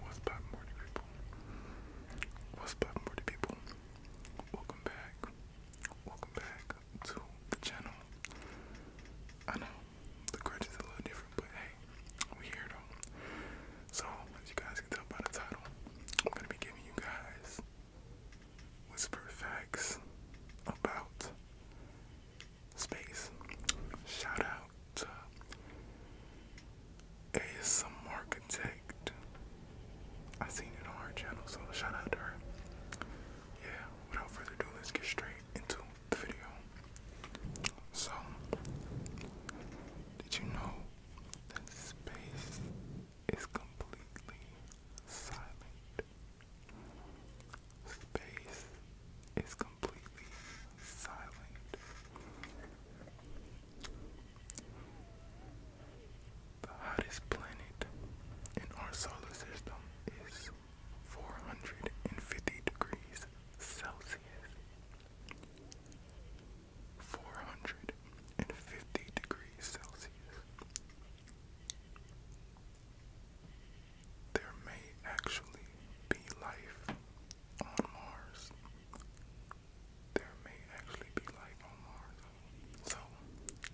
What's up, morning people? What's up, morning people? Welcome back. Welcome back to the channel. I know the grudge is a little different, but hey, we here though. So, as you guys can tell by the title, I'm gonna be giving you guys whisper facts about space. Shout out to ASM Architect. I seen it on her channel, so shout out to her. Yeah, without further ado, let's get straight into the video. So, did you know that space is completely silent? Space is completely silent. The hottest planet in our solar system is 450 degrees Celsius. 450 degrees Celsius. There may actually be life on Mars. There may actually be life on Mars. So,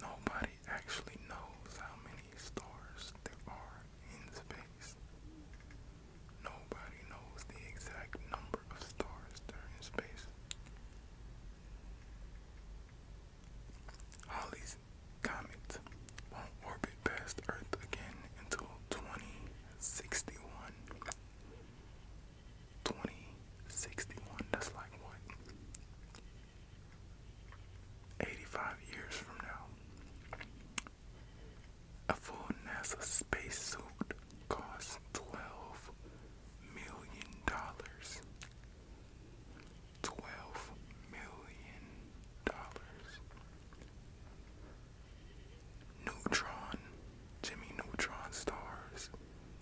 nobody actually knows how many stars there are in space. Nobody knows the exact number of stars there are in space. Halley's comet won't orbit past Earth again until 2061. 2061, that's like what? 85 years from now. A full NASA space suit costs 12 million dollars twelve million dollars. Neutron, Jimmy Neutron stars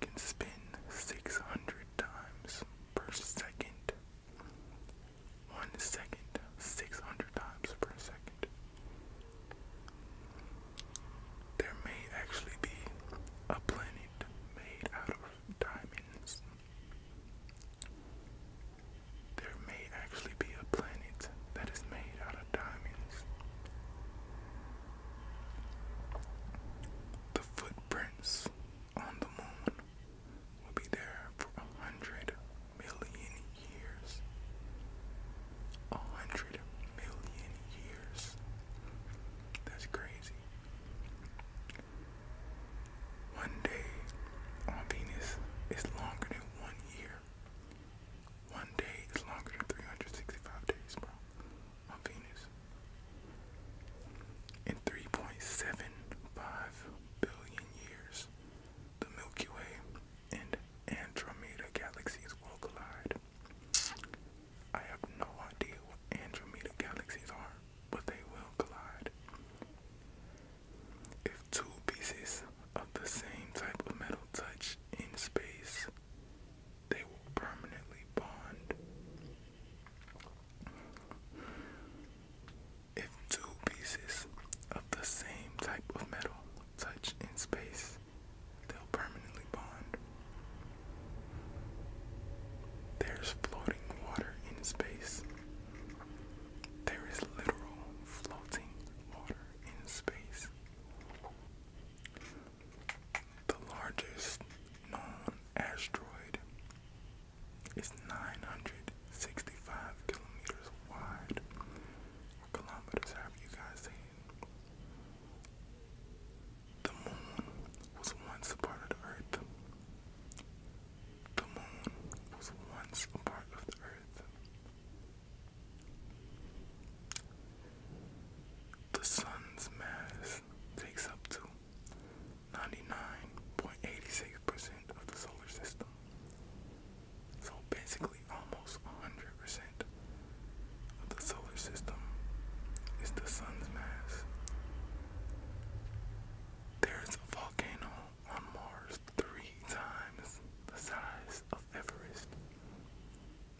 can spin 600 times per second. One second, 600 times per second. There may actually be a planet made out of diamonds. There may actually be a planet that is made out of diamonds. The footprints on the moon will be there for a hundred million years. A hundred million years. That's crazy. One day on Venus is longer than one year. One day is longer than 365 days, bro. On Venus. In 3.75 billion years, the Milky Way and Andromeda galaxies will collide. I have no idea what Andromeda galaxies are, but they will collide. If two pieces of the same type of metal touch in space, they will permanently bond. If two pieces of the same type of metal touch in space, they'll permanently bond. There's floating water in space. There is literal floating water in space. The largest known asteroid is 965 kilometers wide. What kilometers have you guys seen? The moon was once a part of the earth. The moon was once a part of the earth. The sun's mass takes up to 99.86% of the solar system. So basically, almost 100% of the solar system is the sun's mass. There is a volcano on Mars three times the size of Everest.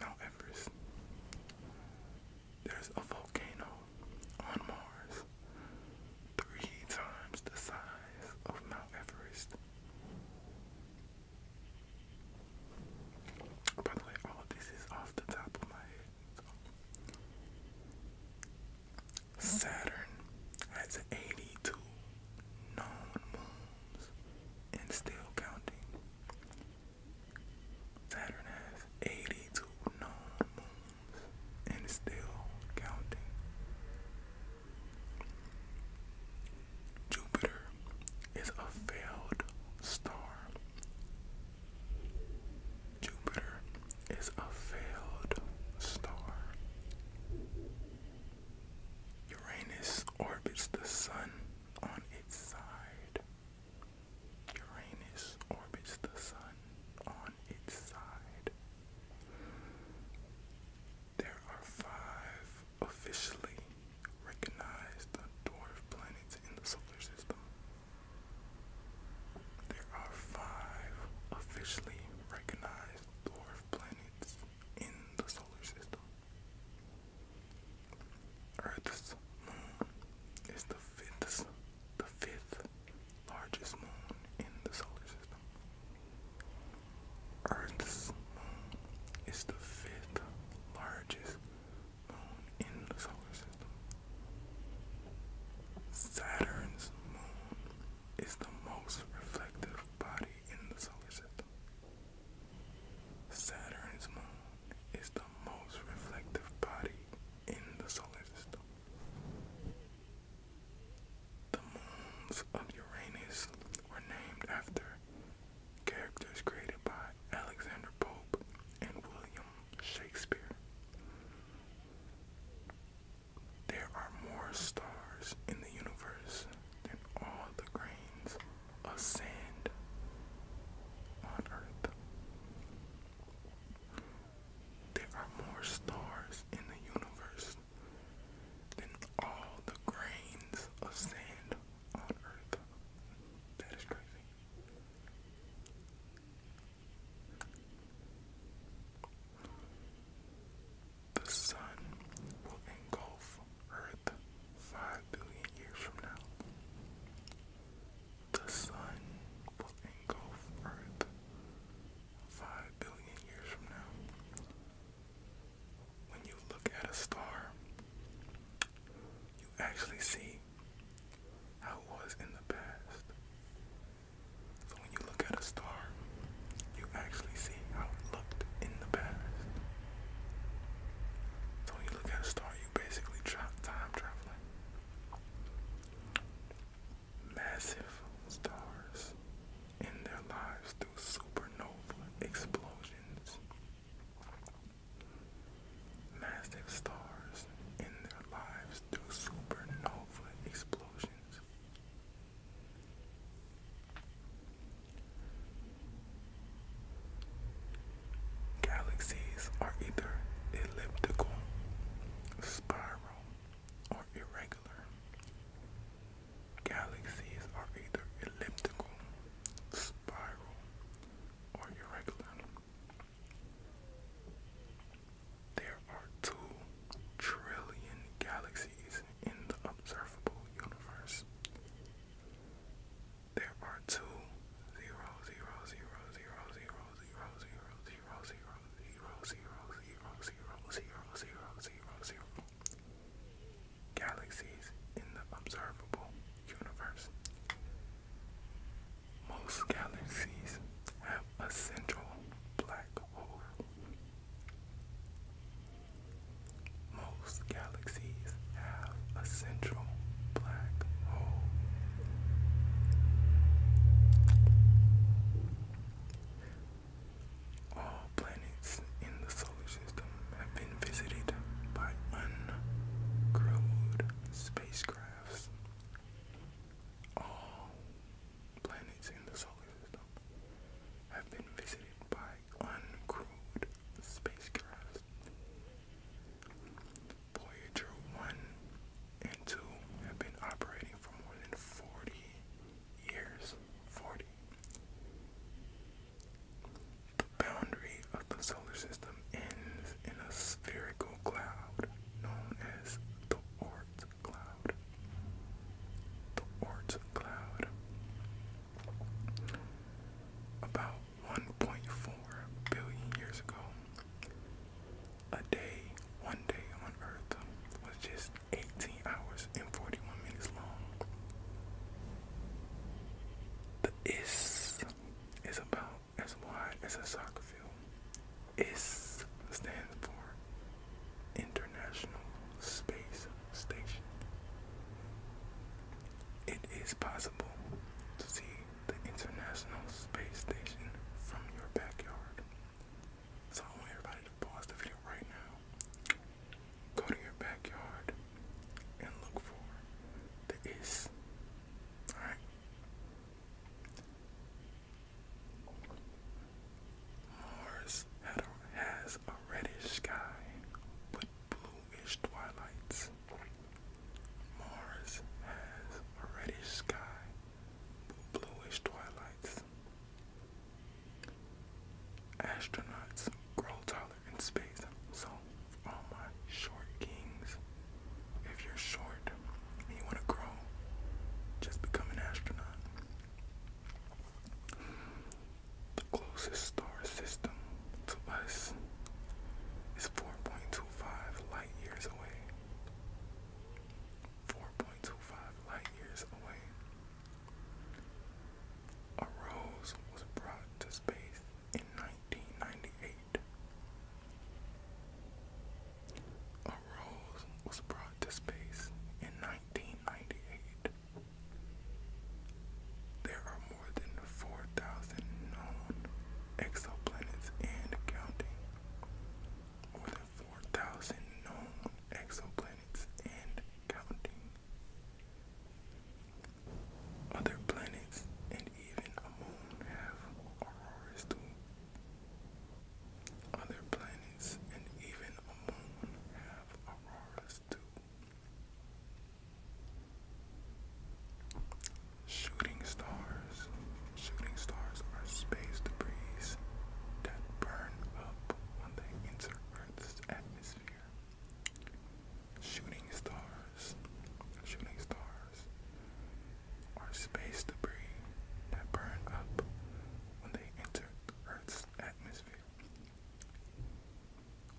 Mount Everest. There's a volcano on Mars three times the size of Mount Everest. By the way, all of this is off the top of my head. Saturn has 82 known moons and still counting. Saturn has 82 known moons and still counting. Jupiter is a failed star. Jupiter is a failed star. Uranus orbits the sun on its side. Uranus orbits the sun on its side. There are five officially recognized dwarf planets in the solar system. There are five officially recognized dwarf planets in the solar system. Earth's moon is the fifth, the fifth largest moon in the solar system. Earth's moon is the fifth largest moon in the solar system. Saturn's moon is the most reflective body in the solar system. Saturn's moon is the most reflective body in the solar system. The moons of Uranus were named after characters created by Alexander Pope and William Shakespeare. There are more stars in the universe than all the grains of sand on Earth. There are more stars in the universe than all the grains of sand on earth. That is crazy. The sun will engulf Earth five billion years from now. The sun will engulf Earth five billion years from now, when you look at a star, you actually see how it was in the past. So when you look at a star, you actually see how it looked in the past. So when you look at a star, you basically tra time traveling massive stars in their lives through supernova explosions. Massive stars in their lives through supernova explosions. Galaxies are either elliptical, spiral, or irregular. Galaxies are either elliptical, spiral, or irregular. There are two trillion galaxies in the observable universe. There are two zero zero zero zero zero zero zero zero zero zero, zero, zero, zero, zero, zero, zero, zero galaxies in the observable universe. Most galaxies have a central black hole. Most galaxies have a central black hole. All planets in the solar system have been visited by uncrewed spacecrafts. All planets in the solar system have been visited by uncrewed spacecrafts. Voyager 1 and 2 have been operating for more than 40 years. 40. The boundary of the solar system ends in a spherical cloud known as the Oort cloud. The Oort cloud. About 1.4 billion years ago, a day, one day on earth was just 18 hours and 41 minutes long. The IS is about as wide as a soccer field. IS stands for International Space Station. It is possible to see the International Space Station from your backyard. So I want everybody to pause the video right now. Go to your backyard and look for the is. Alright. Mars has a reddish sky with bluish twilights. Mars has a reddish sky bluish twilights. Astronauts grow taller in space, so for all my short kings, if you're short and you want to grow, just become an astronaut. The closest star system to us is 4.2 4.25 light years away. 4.25 light years away. A rose was brought to space in 1998. A rose was brought to space in 1998. There are more than 4,000 known exoplanets and counting. More than 4,000 known exoplanets and counting. Other planets and even a moon have auroras too. Other planets and even a moon have auroras too. Shooting stars. Shooting stars are space debris that burn up when they enter Earth's atmosphere. Shooting stars. Shooting stars are space debris that burn up when they enter Earth's atmosphere.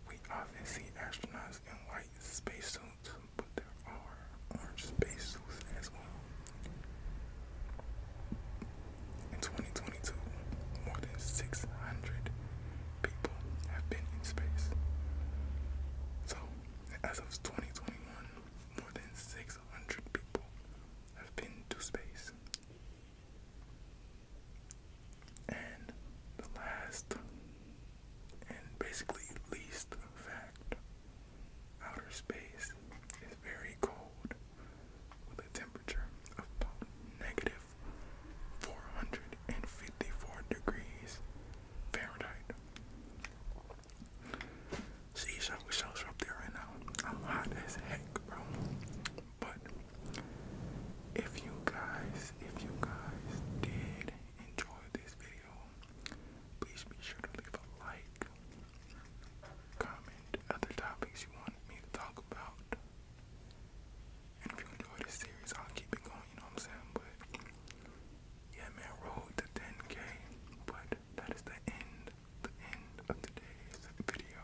We often see astronauts in white spacesuits, but there are orange spacesuits as well. In 2022, more than 600 people have been in space. So, as of 2021, more than 600 people have been to space. And the last and basically least fact outer space is very cold with a temperature of about negative 454 degrees Fahrenheit. See, I wish I up there right now. I'm hot as heck, bro. But if you guys, if you guys did enjoy this video, please be sure to leave a like, comment other topics you want me to talk about. And if you enjoy this series, I'll keep it going, you know what I'm saying? But yeah, man, road to 10 But that is the end, the end of today's video.